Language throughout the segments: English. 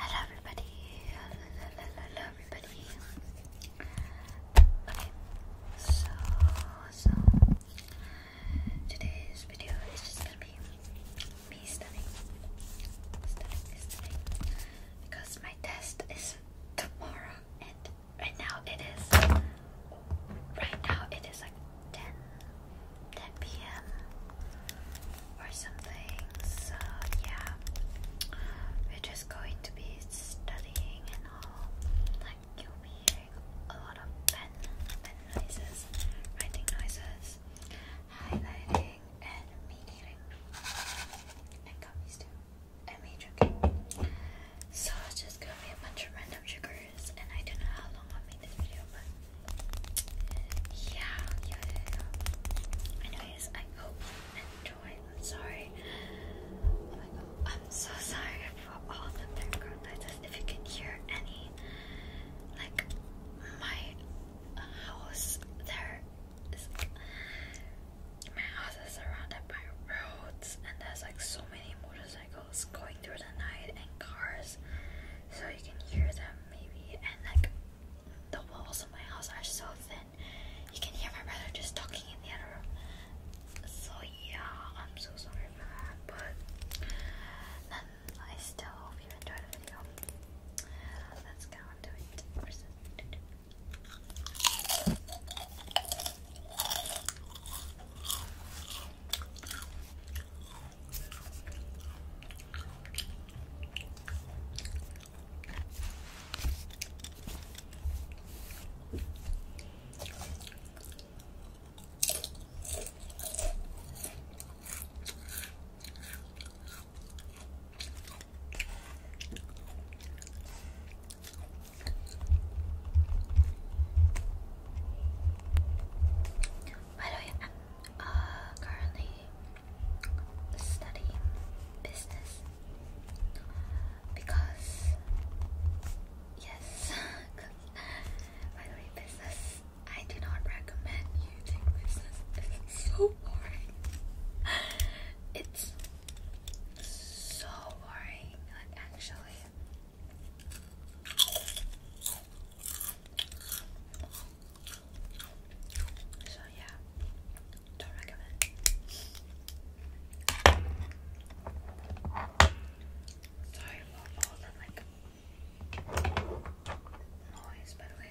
Hello everybody. Hello, hello everybody. Okay, so so today's video is just gonna be me studying, studying, studying, because my test is tomorrow, and right now it is, right now it is like ten 10 p.m. or something. So yeah, we're just going to be studying and all. Like you'll be hearing a lot of pen, pen noises, writing noises, highlighting, and me and gummies too, and me So it's just gonna be a bunch of random triggers, and I don't know how long i made this video, but yeah, yeah, yeah. Anyways, I hope you enjoyed. am sorry. Oh I'm so sorry for all the background noises. If you can hear any, like my house, there is my house is surrounded by roads, and there's like so many motorcycles going through the night and cars, so you can hear them maybe and like the walls of my house are so thin. You can hear my brother just talking in the other room. So yeah, I'm so sorry for that. But I still hope you enjoyed the video. Let's get on to it. By the uh, currently study business because yes, by business I do not recommend you do business. It's so boring. It's so boring, like actually. So yeah, don't recommend. Sorry about all like noise, by the way.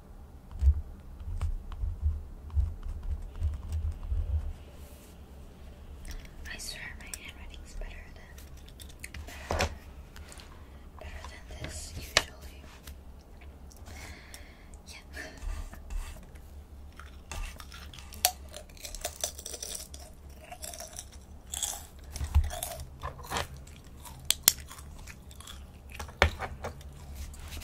I swear my handwriting's better than better than, better than this usually. Yeah.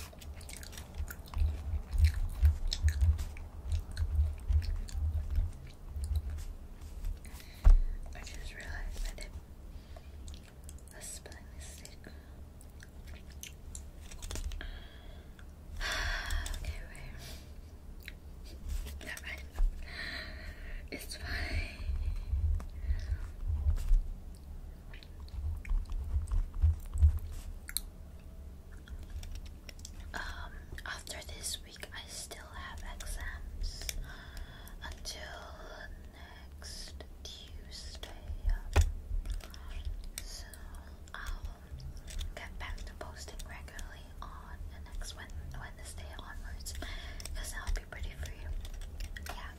I just realized I did a spelling mistake. okay, wait. Never mind. It's fine. Um, after this week, I still have exams until next Tuesday. So I'll get back to posting regularly on the next Wednesday onwards because I'll be pretty free. Yeah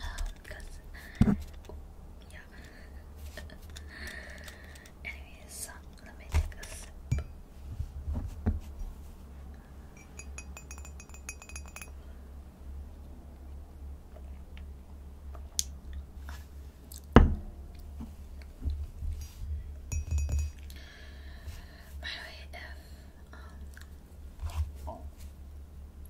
um, because yeah. Anyways, so let me take a sip. By the way, um,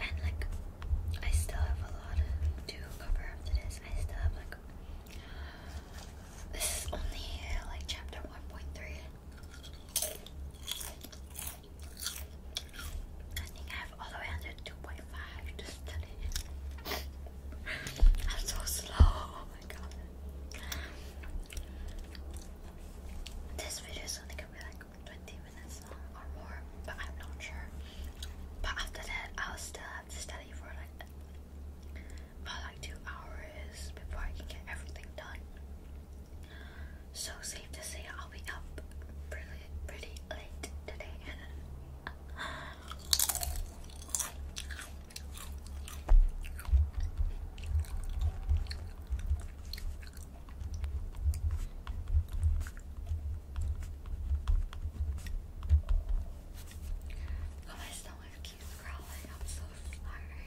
And like, I still have a lot to cover after this. I still have like, this is only like chapter 1.3. I think I have all the way under 2.5 to study I'm so slow, oh This video is only gonna be like 20 minutes or more, but I'm not sure. But after that, I'll still have to study for like about like two hours before I can get everything done. So safe to say I'll be up pretty, pretty late today. Oh, my stomach keeps growling. I'm so sorry.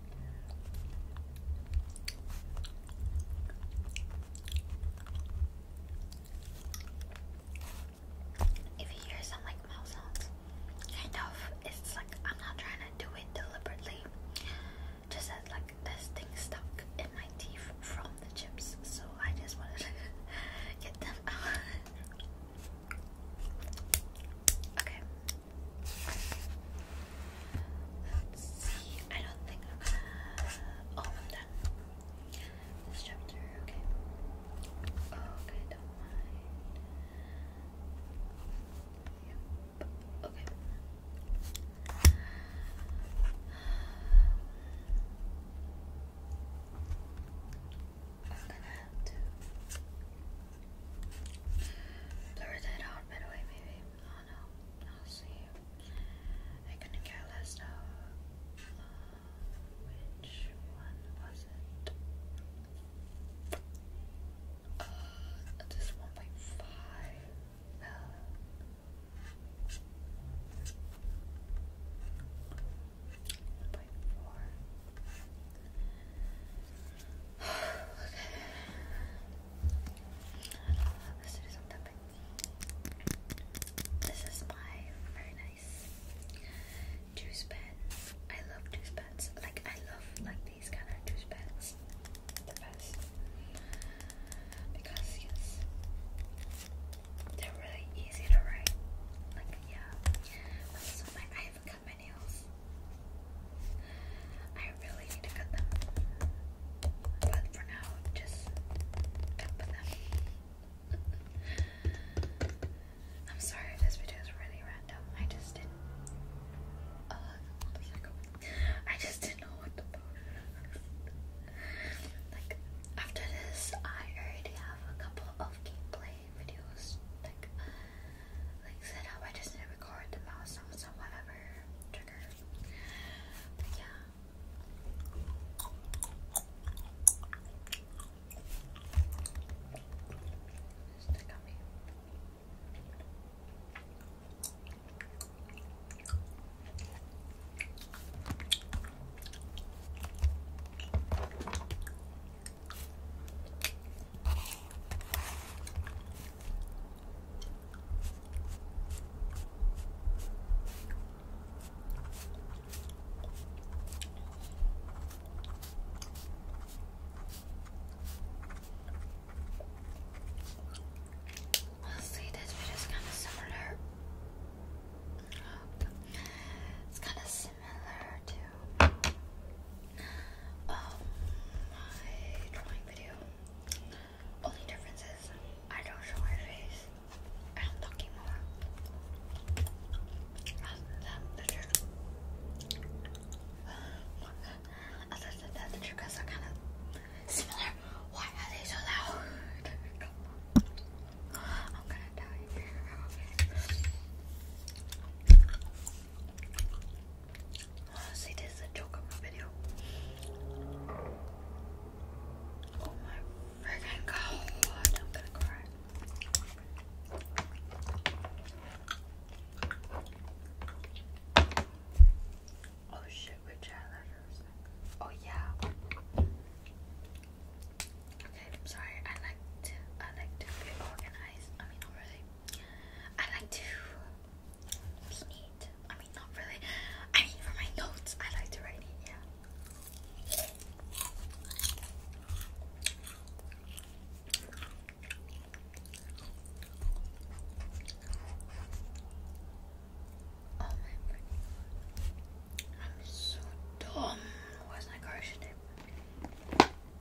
If you hear some like mouth sounds, kind of, it's like I'm not trying to do it deliberately. Just that like this thing stuck in my teeth from the chips, so I just wanted to get them out. okay, Let's see. I don't think uh, oh, I'm done. This chapter, okay. Okay, don't mind. Okay. I'm gonna blur that out, by maybe no, I'll see you. I couldn't care which one was it? Uh, this 1.5. one point four. Let's This is my very nice juice I love juice Like I love like these kind of juice the best because they're really easy to write. Like yeah, also, like I have a I really need to cut them. But for now, just cut them. I'm sorry if this video is really random. I just didn't. Uh, I just didn't know what to post. like, after this, I already have a couple of gameplay videos. Like, like set I just didn't record the milestones or whatever trigger. yeah. I see this video is kind of similar. It's kind of similar to um, my drawing video. Only difference is I don't show my face. I'm talking more. That's the trick. Other than that, the triggers are kind of similar. Why are they so loud? I'm gonna die. Okay. Honestly, oh, this is a joke on my video. Oh my freaking god, I'm gonna cry. Oh shit, we're chat Oh yeah. Okay, I'm sorry. I like to I like to be organized. I mean not really. I like to we need. I mean, not really. I mean, for my notes, I like to write it. Yeah. Oh my god. I'm so dumb. Where's my car today?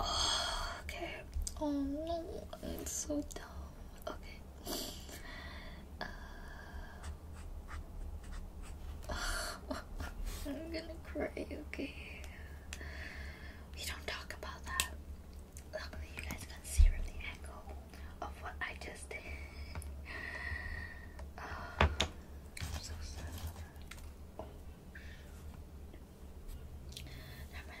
Oh, okay. Oh no, it's so dumb. Okay. Uh, I'm gonna cry. Okay. We don't talk about that. Luckily, you guys can see from the angle of what I just did. Oh, I'm so sad. Never mind,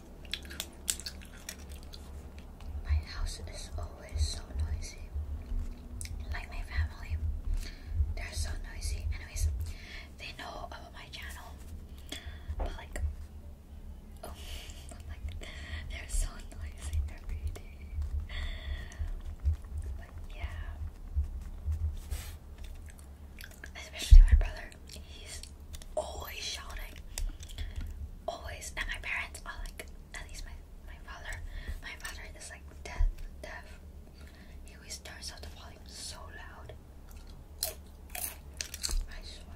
My house is always so noisy. Like my family, they're so noisy. Anyways, they know about my channel, but like, oh, like, they're so noisy every day. But yeah, especially my brother. He's always shouting, always. And my parents are like, at least my my father, my father is like deaf, deaf. He always turns up the volume so loud. I swear.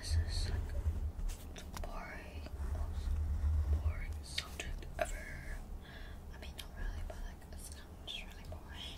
This is like the boring, most boring subject ever. I mean, not really, but like it's just really boring.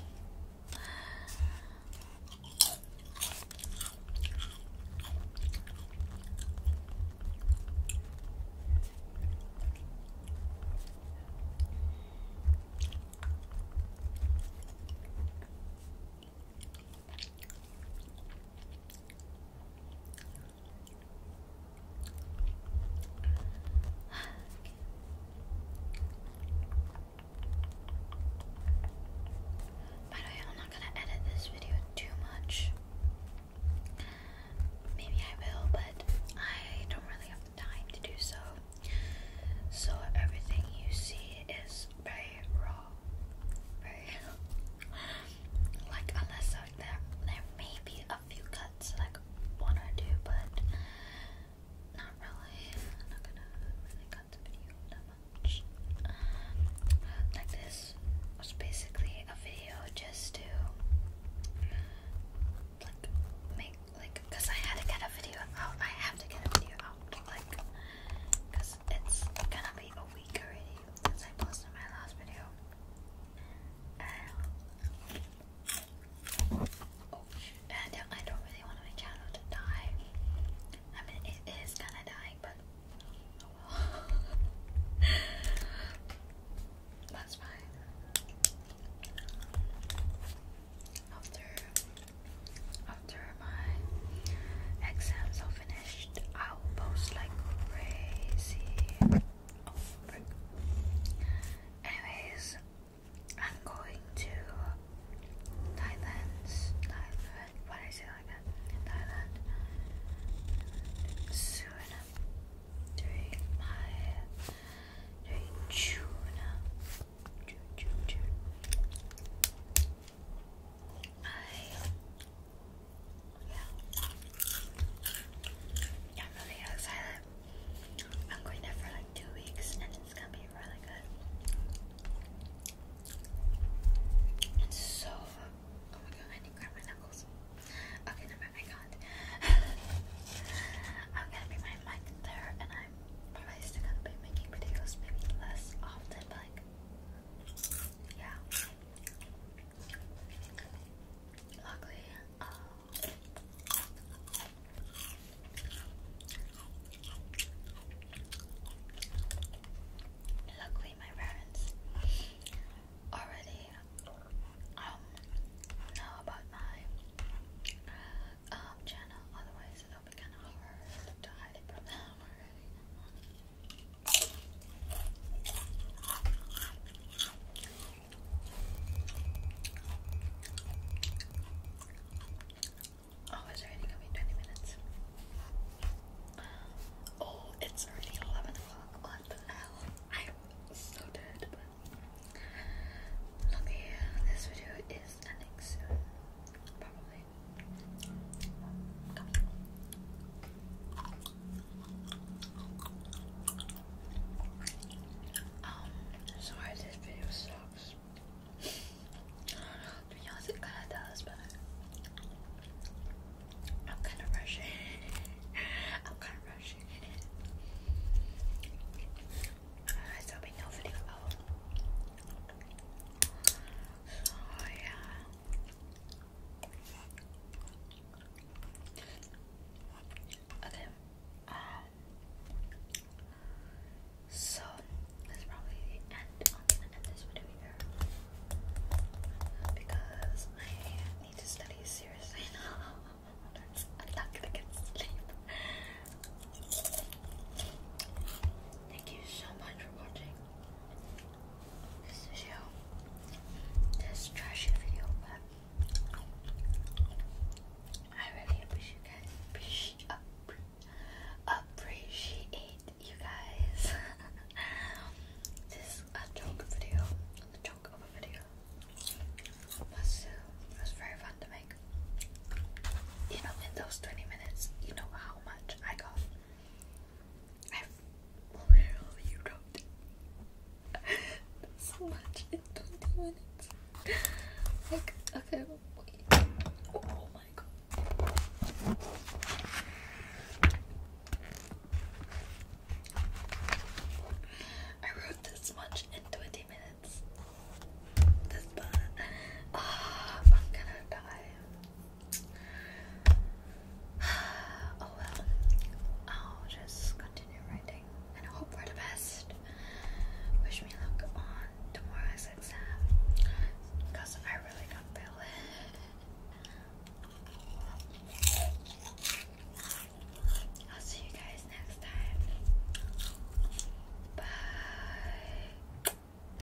By the way, I'm not gonna edit this video too much. Maybe I will, but I don't really have the time to do so. So everything you see is just very raw, very like unless there there may be a few cuts, like one or two, but not really. I'm not gonna really cut the video that much. Like this was basically a video just to like make like because I had to get a video out. I have to get a video out like because it's gonna be a week I posted my last video. Um, I don't, really want my channel to die. I mean, it is kinda dying, but oh That's fine. After after my exams are finished, I will post like crazy. Anyways, I'm going to Thailand. Thailand. Why I say like that? Thailand. Soon. During my during June. I yeah. am really excited. I'm going there for like two weeks and it's gonna be really good. It's so oh my god, I need to grab my knuckles. Okay, no, I can I'm gonna be my mic there and I'm probably still gonna be making videos maybe less often but like yeah. Luckily, uh, luckily my parents already um, know about my um, channel. Otherwise, it'll be kind of hard to hide it from them already. Oh, it's already going 20 minutes. Oh, it's already 11 o'clock. What the hell? I'm so dead, but. Okay, this video is ending soon. Probably. Um, sorry this video sucks. to be honest, it kinda does, but I'm kinda rushing. I'm kinda rushing in it. there'll be no video so oh, yeah. Okay. Um. So that's probably the end. i this video here because I need to study seriously I'm not gonna get sleep. Thank you so much for watching this video, this trashy video, but I really appreciate Appreciate, you guys. this is a joke video, the joke of a video. Was, it was very fun to make. You know, in those 20 minutes, you know how much I got. I literally wrote so much in 20 minutes. Like, okay, wait. Oh my god. I wrote this much in 20 minutes. This bad. Uh, I'm gonna die. Oh well, I'll just continue writing and hope for the best. Wish me luck on tomorrow's exam because I really can't I'll see you guys next time. Bye.